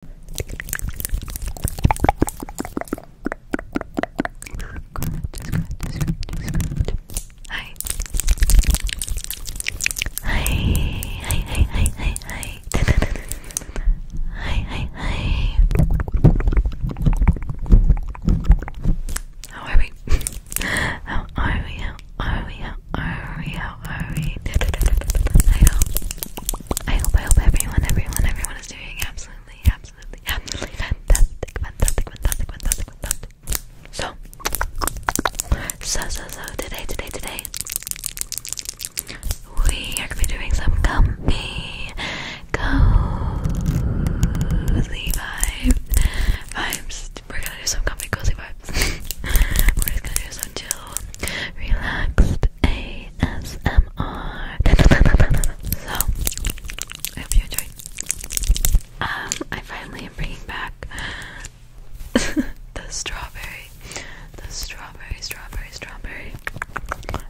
Hi. Hi. Hi. Hi. Hi. Hi. Hi. Hi. How are we? How are we? How are we? How are we? don't worry. I hope, I hope, I hope everyone, everyone, everyone is doing absolutely, absolutely, absolutely fantastic, fantastic, fantastic, fantastic, fantastic. So, so, so, so, today, today, today, we are going to be doing some comfy, cozy vibe, vibes. We're going to do some comfy, cozy vibes. We're just going to do some chill, relaxed ASMR. so, I hope you enjoyed. Um, I finally am bringing back the strawberry, the strawberry, strawberry, strawberry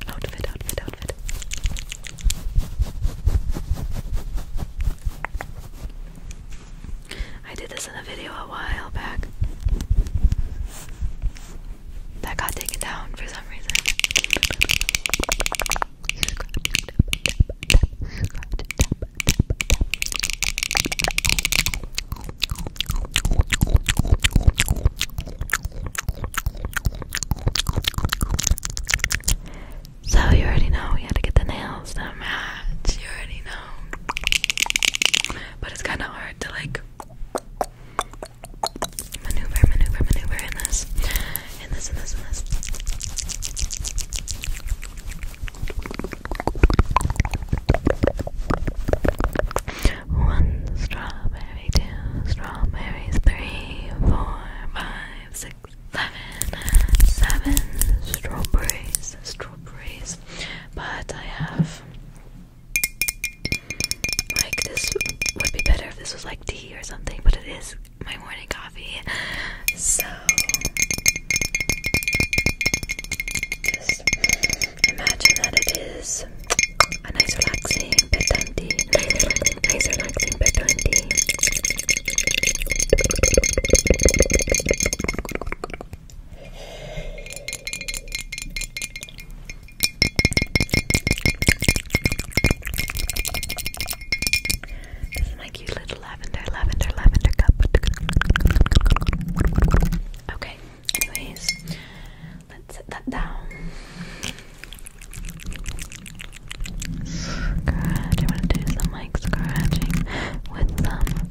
outfit, outfit, outfit. I did this in a video a while back that got taken down for some reason. So you already know we had to get the nails to match. You already know. But it's kind of hard to like Maneuver, maneuver, maneuver in this. In this, in this, in this. One strawberry, two strawberries, three, four, five, six, seven, seven strawberries, strawberries. But I have like, this would be better if this was like tea or something, but it is my morning coffee. So, just imagine that it is a nice, relaxing bedtime tea. Nice, relaxing bedtime tea. This my cute little lavender, lavender, lavender cup. Okay, anyways, let's set that down. Scratch, I want to do some like scratching with some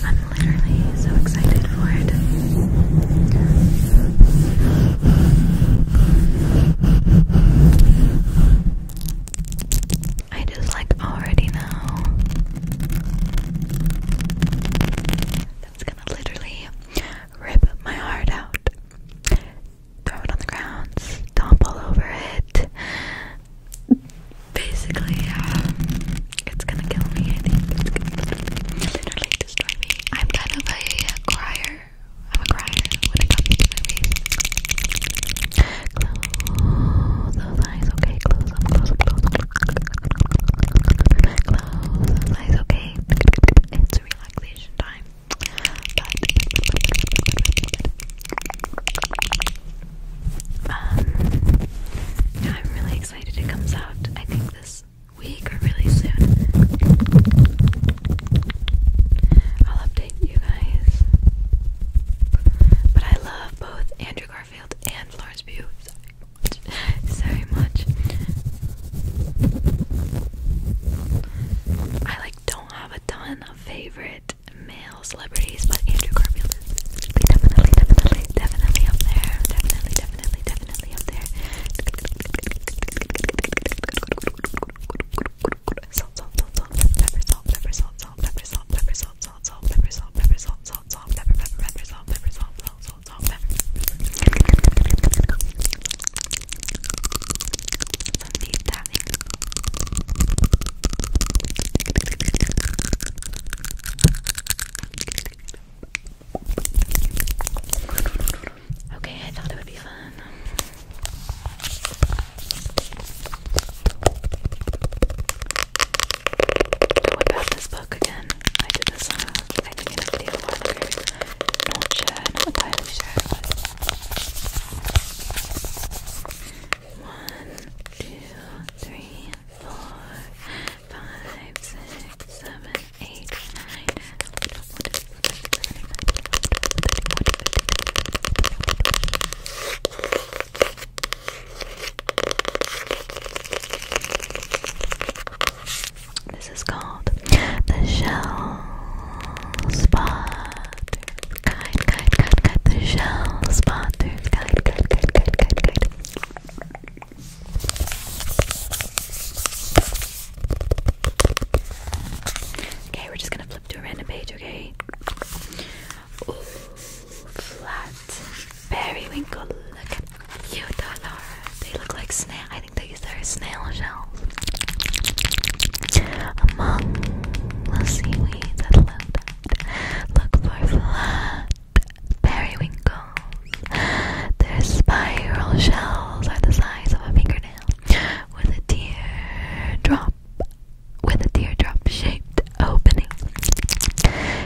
I'm literally so excited for it. I just like already know that's gonna literally rip my heart out throw it on the ground, stomp all over it. Basically, um, it's gonna kill me. I think it's gonna destroy me. I'm kind of a crier. I'm a crier when it comes to movies. Close those eyes, okay? Close them, close them, close them. Close those eyes, okay? It's relaxation time. Um, I'm really excited it comes out, I think this week or really soon. I'll update you guys. But I love both Andrew Garfield and Florence Pugh so much. I like don't do have a ton of favorite male celebrities, but Andrew Garfield is definitely, definitely, definitely up there. Definitely, definitely, definitely up there. Okay, I thought it would be fun. I whip this book again. I did this on uh, a, I think in a not sure, not entirely sure. One, two, three, four, five, six, seven, eight, nine. This is called the Shell Spa. Sponsors, guide, guide, guide, the show. Sponsors, guide, guide, guide, guide, guide, guide. Okay, we're just gonna flip to a random page, okay? Ooh, flat periwinkle. Look at you, Dolores. They look like snails. I think they these are snail shells. Among the seaweed look for flat periwinkles. Their spiral shells are the size of a fingernail, with a teardrop, with a teardrop-shaped opening.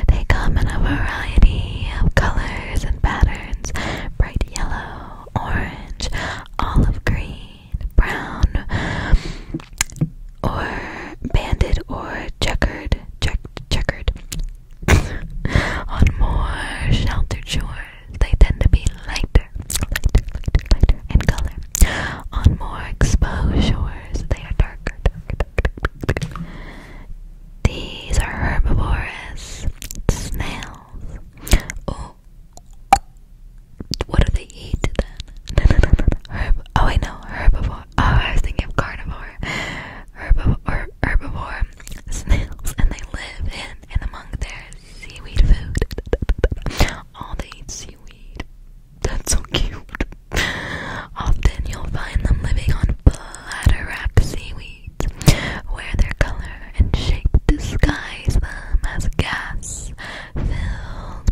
They come in a variety of colors and patterns: bright yellow, orange, olive green brown, or banded, or checkered, checkered. On more sheltered shores, they tend to be lighter, lighter, lighter, lighter in color. On more exposed shores, they are darker, darker, darker, darker. These are herbivorous snails. What do they eat then? Oh, I know herbivore. Oh, I was thinking carnivore. Herbivore. Herbivore. Snails, and they live in and among their seaweed food. All oh, they eat seaweed. That's so cute. Often you'll find them living on bladder-wrapped seaweeds, where their color and shape disguise them as gas-filled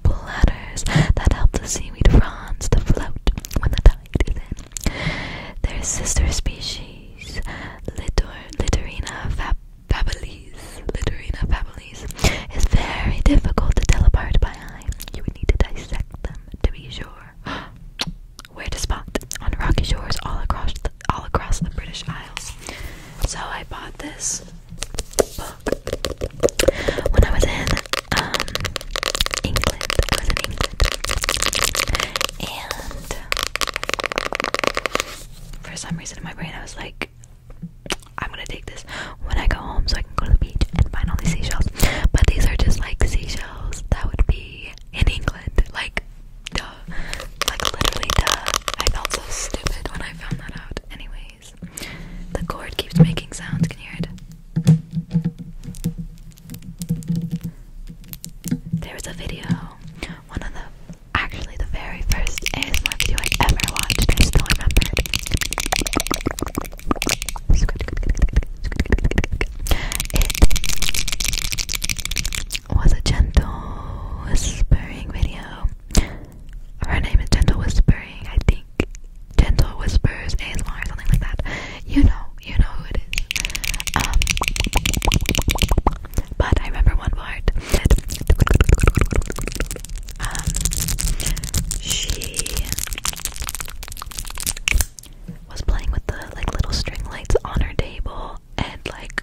bladders that help the seaweed fronds to float when the tide is in. Their sister species, Litor Littorina fab fabilis, Littorina fabilis, is very difficult to tell apart by eye. You would need to dissect them to be sure. Where to spot? On rocky shores all across all across the British Isles. So I bought this book when I was in um, England. I was in England. And for some reason in my brain, I was like, I'm gonna take this when I go home so I can go to the beach and find all these seashells. But these are just like seashells that would be in England. Like, duh. Like literally I felt so stupid when I found that out. Anyways, the cord keeps making sounds. Can hear it? There was a video, one of the, actually the very first ASMR video I ever watched, I still remember It was a gentle whispering video. Her name is Gentle Whispering, I think. Gentle Whispers ASMR or something like that. You know, you know who it is. Um, but I remember one part. Um, she was playing with the like little string lights on her table and like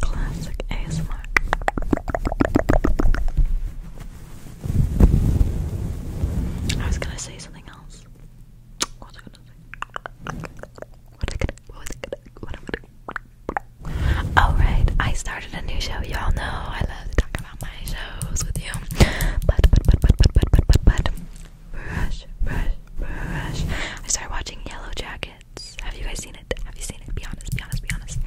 classic, ASMR. I was gonna say something else. What was I gonna say? What was I gonna? What am I gonna? Oh I started a new show. Y'all know I love to talk about my shows with you. But but but but but but but but but. Brush, brush, I started watching Yellow minutes. Have you guys seen it? Have you seen it? Be honest, be honest, be honest.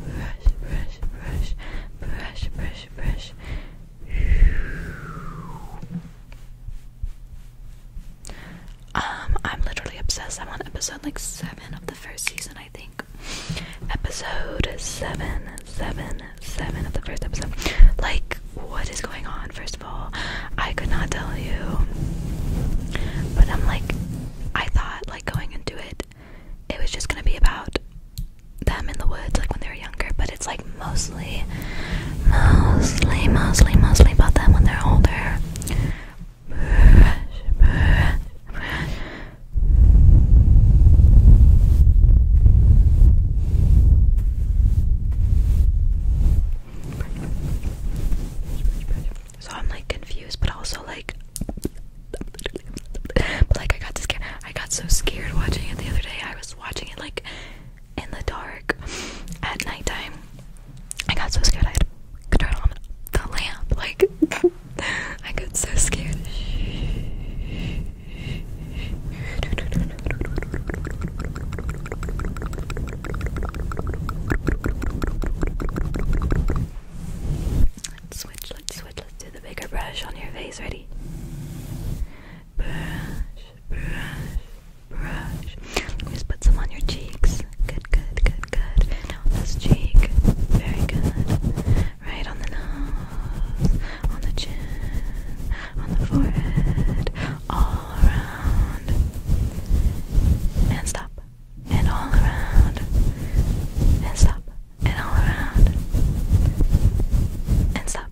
Brush, brush, brush, brush, brush, brush. Um, I'm literally obsessed. I'm on episode like seven of the first season, I think. Episode seven, seven, seven of the first episode. Like what is going on, first of all. I could not tell you. But I'm like, I thought, like, going into it, it was just gonna be about them in the woods, like when they were younger, but it's like mostly, mostly, mostly, mostly about them when they're older. Brush, brush, brush. So I'm like confused, but also like, but like I got scared. I got so scared watching it the other day. I was watching it like in the dark at nighttime. I got so scared I had to turn on the lamp. Like I got so scared. Let's switch, let's switch, let's do the bigger brush on your face. Ready? Brush, brush, brush. Let me just put some on your cheeks. Good, good, good, good. Now on this cheek. Very good. Right on the nose, on the chin, on the forehead, all around. And stop. And all around. And stop. And all around. And stop.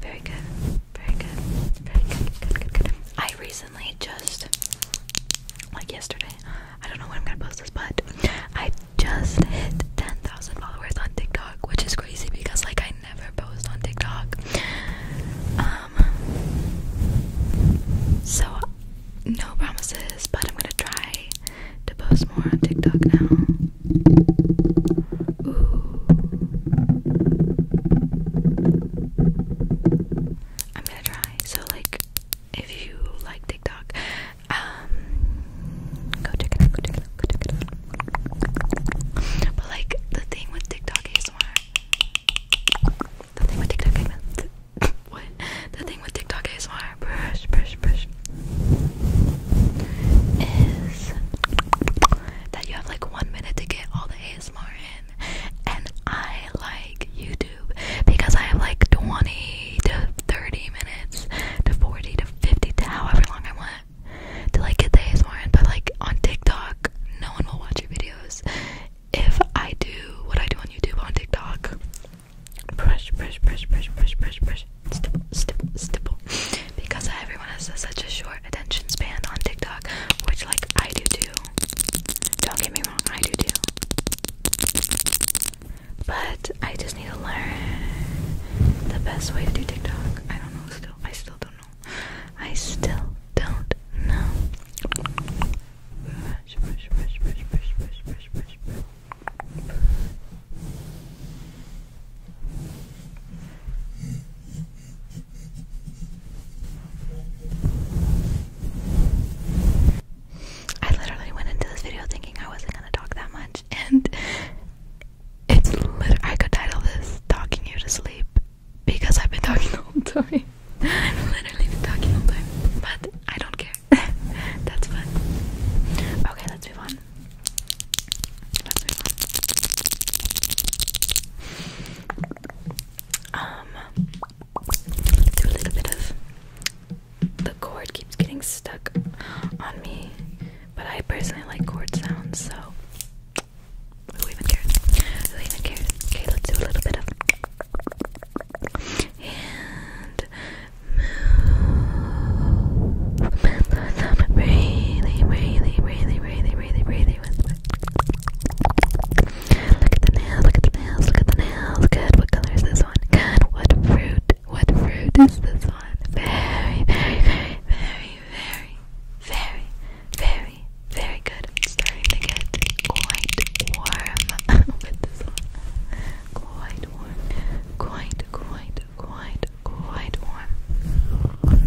Very good. Very good. Very good. Good, good, good. I recently just, like yesterday, I don't know when I'm gonna post this, but I just hit 10,000 followers on TikTok, which is crazy because like I never post on TikTok. Um so no promises, but I'm gonna try to post more on TikTok now. I'm gonna try. So like if you like TikTok, um, go check Go check Go check But like the thing with TikTok ASMR, the thing with TikTok ASMR, what? The thing with TikTok ASMR, brush, brush, brush, is that you have like one minute to get all the ASMR in, and I like YouTube because I have like twenty 30 minutes to 40 to 50 to however long I want to like get the ASMR in. But like on TikTok, no one will watch your videos if I do what I do on YouTube on TikTok. Brush, brush, brush, brush, brush, brush, brush, stipple, stipple, stipple. Because everyone has a, such a short attention span on TikTok, which like I do too. Don't get me wrong, I do too. But I just need to learn the best way to do TikTok. I don't know still. I still don't know. I still don't know. I literally went into this video thinking I wasn't gonna talk that much, and it's I could title this "Talking You to Sleep" because I've been talking the whole time. I've literally been talking all the time, but I don't care. That's fun. Okay, let's move on. Let's move on. Um, do a little bit of the cord keeps getting stuck on me. But I personally like cord sounds, so who even cares? Who even cares? Okay, let's do a little bit of and Really, really, really, really, really, really Look at the nails, look at the nails, look at the nails. Good, what color is this one? Good, what fruit what fruit is this one? Very, very, very, very, very, very, very, very good. i starting to get quite warm with this one. Quite warm. Quite, quite, quite, quite warm.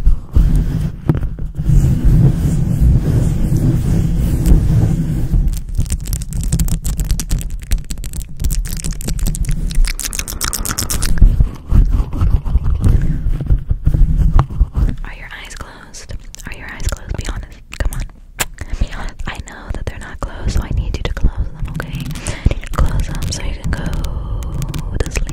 Are your eyes closed? Are your eyes closed? Be honest. Come on. Be honest. I know that they're not closed, so I need you to close them, okay? close them so you can go to sleep.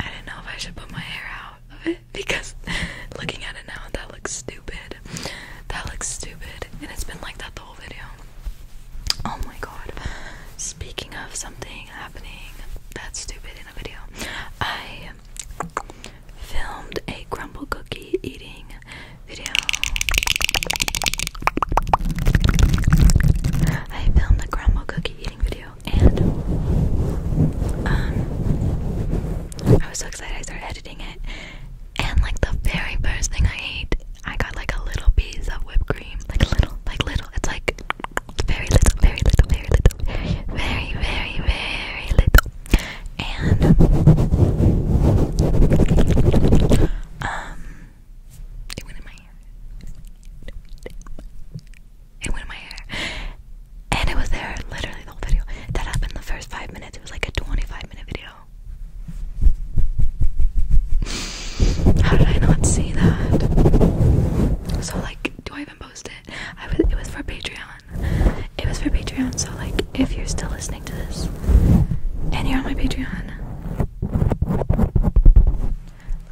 I didn't know if I should put my hair out of it because looking at it now, that looks stupid. That looks stupid, and it's been like that the whole video. Oh my god. Speaking of something happening that's stupid in a video, I filmed a crumble cookie eating video. I filmed a crumble cookie eating video and um I was so excited I started editing it and like the very first thing I ate I got like a little piece of whipped cream. Like a little like little it's like very little, very little, very little, very, very, very little. And um, it went in my hair. It went in my hair, and it was there literally the whole video. That happened the first five minutes. It was like a twenty-five minute video. How did I not see that? So like, do I even post it? I was, it was for Patreon. It was for Patreon, so like if you're still listening to this and you're on my Patreon,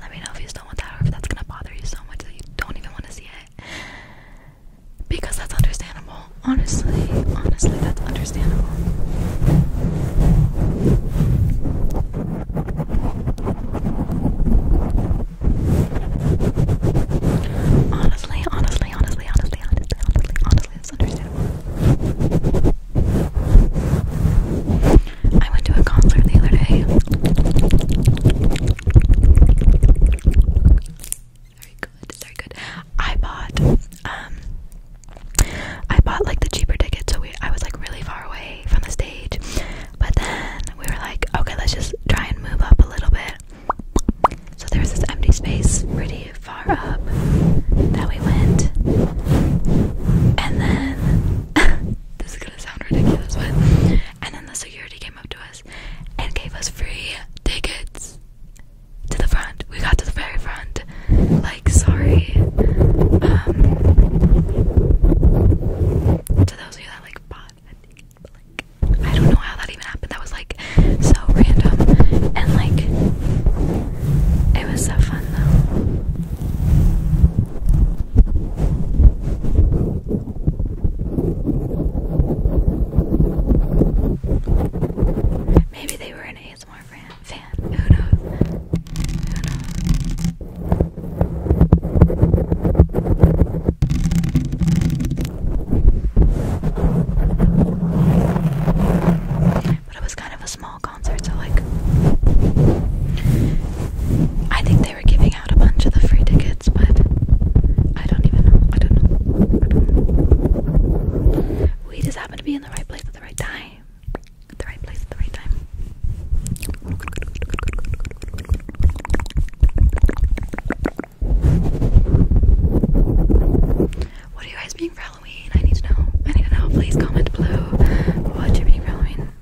let me know if you still want that or if that's gonna bother you so much that you don't even want to see it. Because that's understandable. Honestly, honestly, that's understandable. Honestly, honestly, honestly, honestly, honestly, honestly, honestly, it's understandable. I went to a concert the other day. Very good, very good. I bought, um, I bought like the cheaper ticket, so we, I was like really far away from the stage, but then we were like, okay, let's just try and move up a little bit. So there was this empty space pretty far up that we went. And then this is gonna sound ridiculous, but and then the security came up to us and gave us free tickets to the front. We got to the very front. Like, sorry. Um, to those of you that like I don't know how that even happened. That was like so random and like it was so fun though. Maybe they were an ASMR fan. Who knows? Who knows? But it was kind of a small concert, so like I think they were giving out a bunch of the free tickets, but I don't even know. I don't know. We just happened to be in the right place at the right time. At the right place at the right time. What are you guys being for Halloween? I need to know. I need to know. Please comment below what you being for Halloween.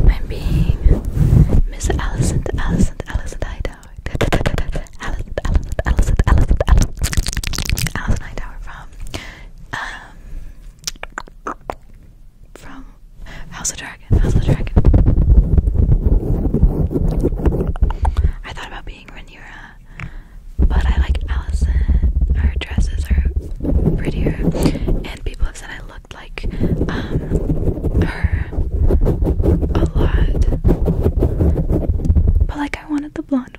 I'm being Miss Allison, Allison, Allison Hightower. Allison, Allison, Allison, Allison, Allison, Allison Hightower from um, from House of Dragon. House of Dragon. I thought about being Rhaenyra, but I like Allison. Her dresses are prettier, and people have said I looked like um, her a lot. But like I wanted the blonde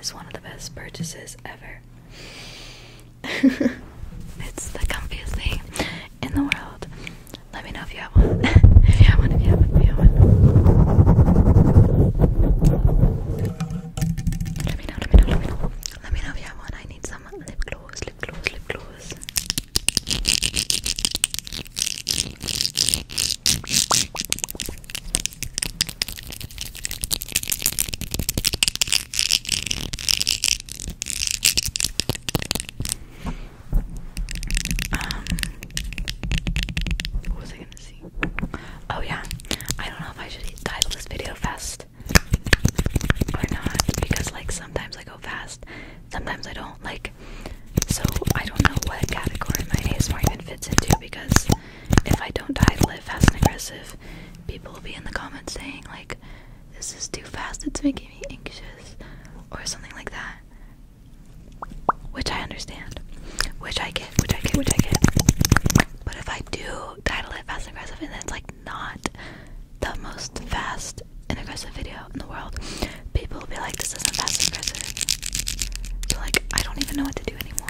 is one of the best purchases ever. it's the comfiest thing in the world. Let me know if you have one. if you have one, if you have one, if you have one. Let me know, let me know, let me know. Let me know if you have one. I need some lip gloss, lip um, what was I gonna see? Oh yeah, I don't know if I should title this video fast or not because like sometimes I go fast, sometimes I don't. Like, so I don't know what category my ASMR even fits into because if I don't title it fast and aggressive, people will be in the comments saying, like, this is too fast, it's making me anxious, or something like that. Which I understand. Which I get, which I get, which I get. But if I do title it fast and aggressive, and it's like not the most fast and aggressive video in the world, people will be like, this isn't fast and aggressive. So, like, I don't even know what to do anymore.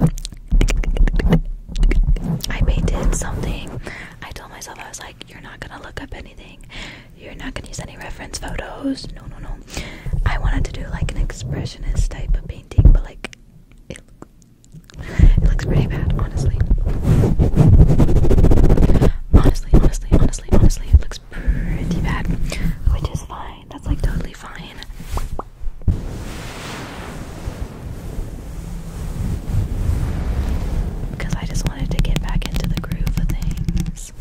last. I painted something. I told myself, I was like, you're not gonna look up anything. You're not gonna use any reference photos. No, no, no. I wanted to do like an expressionist type of painting, but like, it, it looks pretty bad, honestly. Honestly, honestly, honestly, honestly, it looks pretty bad. Which is fine. That's like totally fine. Because I just wanted to get back into the groove of things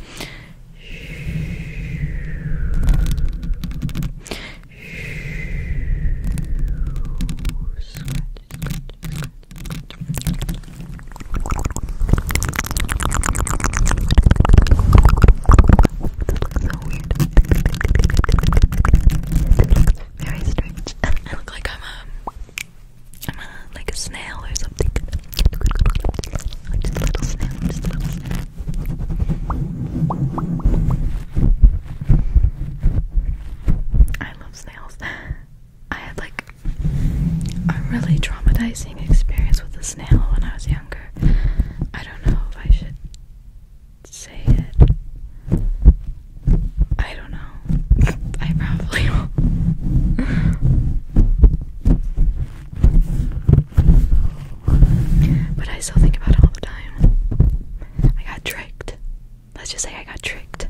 looks so weird. very strange. I look like I'm a, I'm a, like a snail or something. I'm just a little snail. I love snails. I had like a really traumatizing experience with a snail when I was younger. I don't know if I should say it. I don't know. I probably will. but I still think about it all the time. I got tricked. Let's just say I got tricked.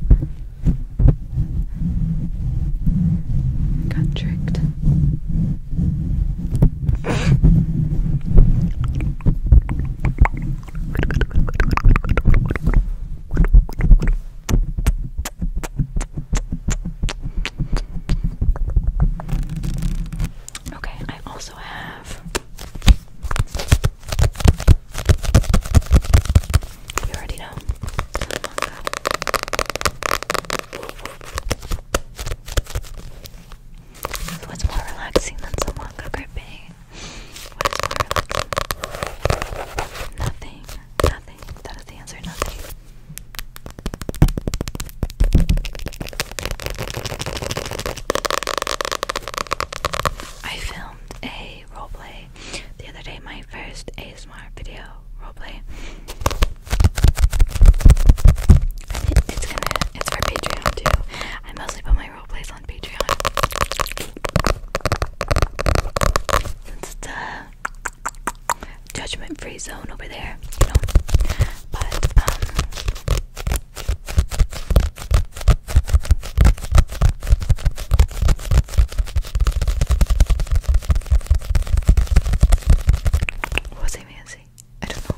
Got tricked. Okay, I also have. You already know. What's more relaxing than someone gripping? What is more relaxing? Nothing. Nothing. That is the answer. Nothing. I filmed a roleplay the other day, my first ASMR video roleplay. It, it's gonna it's for Patreon too. I mostly put my my roleplays on Patreon. it's a judgment-free zone over there, you know. fancy? I don't know.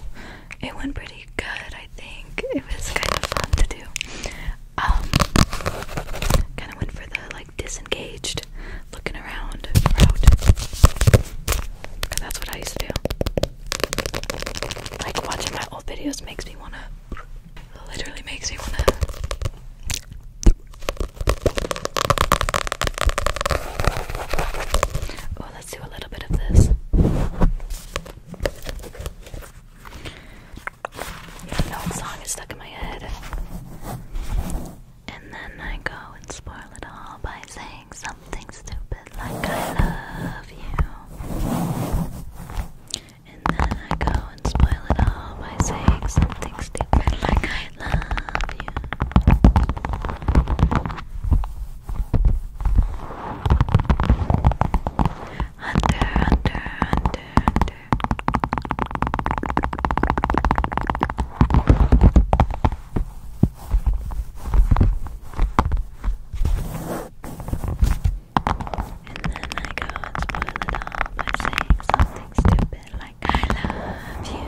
It went pretty good, I think. It was kind of fun to do. Um, kind of went for the like disengaged, looking around route. that's what I used to do. Like watching my old videos makes me wanna, literally makes me wanna. Oh, let's do a little bit of this. You know what song is stuck in my head. And then I go and spoil it all by saying something stupid like I love you. And then I go and spoil it all by saying something stupid like I love you. Hunter, Hunter, Hunter, Hunter. And then I go and spoil it all by saying something stupid like, I love you.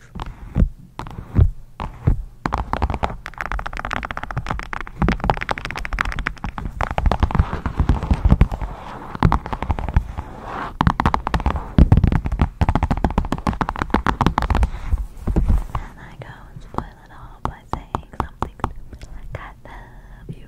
And I go and spoil it all by saying something I love you.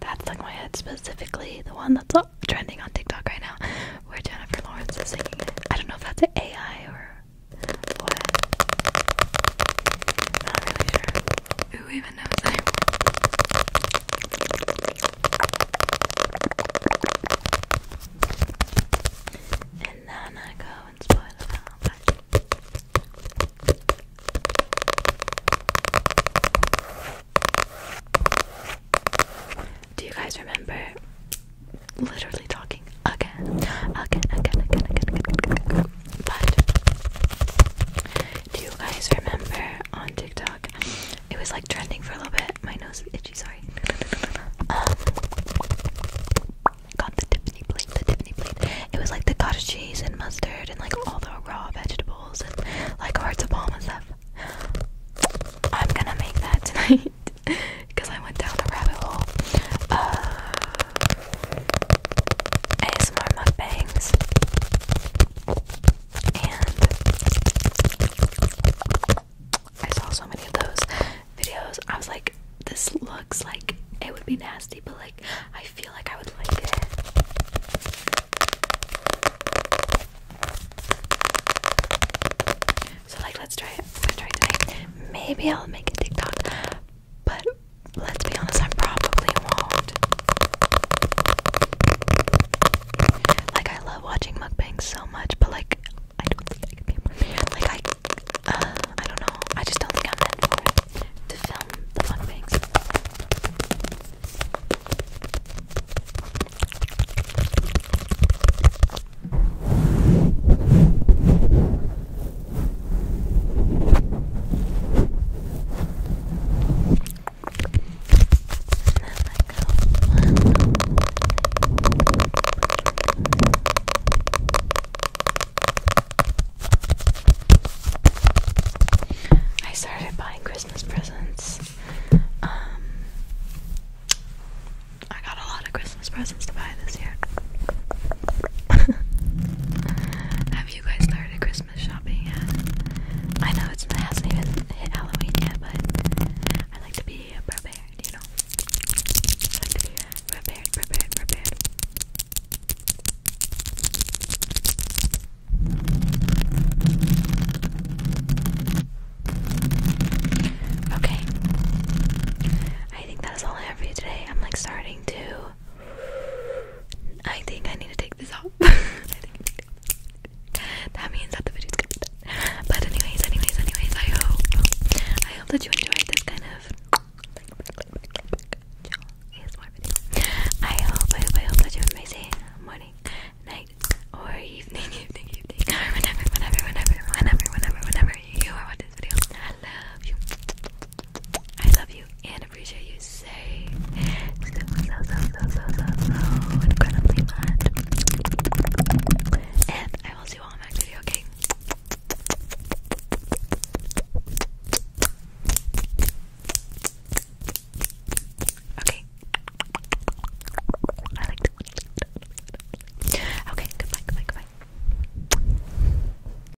That's like my head specifically, the one that's trending on TikTok right now, where Jennifer Lawrence is singing it. I don't know if that's an AI or what. not really sure. Do you guys remember literally talking again, again, again, again, again, again. But do you guys remember on TikTok? It was like trending for a little bit. My nose itchy, sorry. Um, got the Tiffany plate, the Tiffany plate. It was like the cottage cheese and mustard and like all the raw vegetables and like hearts of palm and stuff. I'm gonna make that tonight because I went down the rabbit hole. Uh, ASMR mukbangs I saw so many of those videos. I was like, this looks like it would be nasty, but like I feel like I would like it. So like let's try it. I'm try it Maybe I'll make a TikTok. But let's be honest, I probably won't. Like I love watching mukbangs so much, but like I don't think I can be a Like I, uh, I don't know. I just don't think I'm meant for it to film the mukbangs. I started buying Christmas presents. Um, I got a lot of Christmas presents to buy this year. you guys started Christmas shopping yet? I know it's, not even hit Halloween yet, but I like to be prepared, you know? I like to be prepared, prepared, prepared. Okay. I think that's all I have for you today. I'm like starting to I think I need to take this off. That means that the video's gonna But anyways, anyways, anyways, I hope I hope that you enjoyed this kind of I hope, I hope, I hope that you have an morning, night, or evening, evening, evening, whenever, whenever, whenever, whenever, whenever, whenever you are watching this video. I love you. I love you and appreciate you Say so, so, so, so, so, so, so incredibly much. And I will see you all my next video, okay? Okay. I like Okay, goodbye, goodbye, goodbye.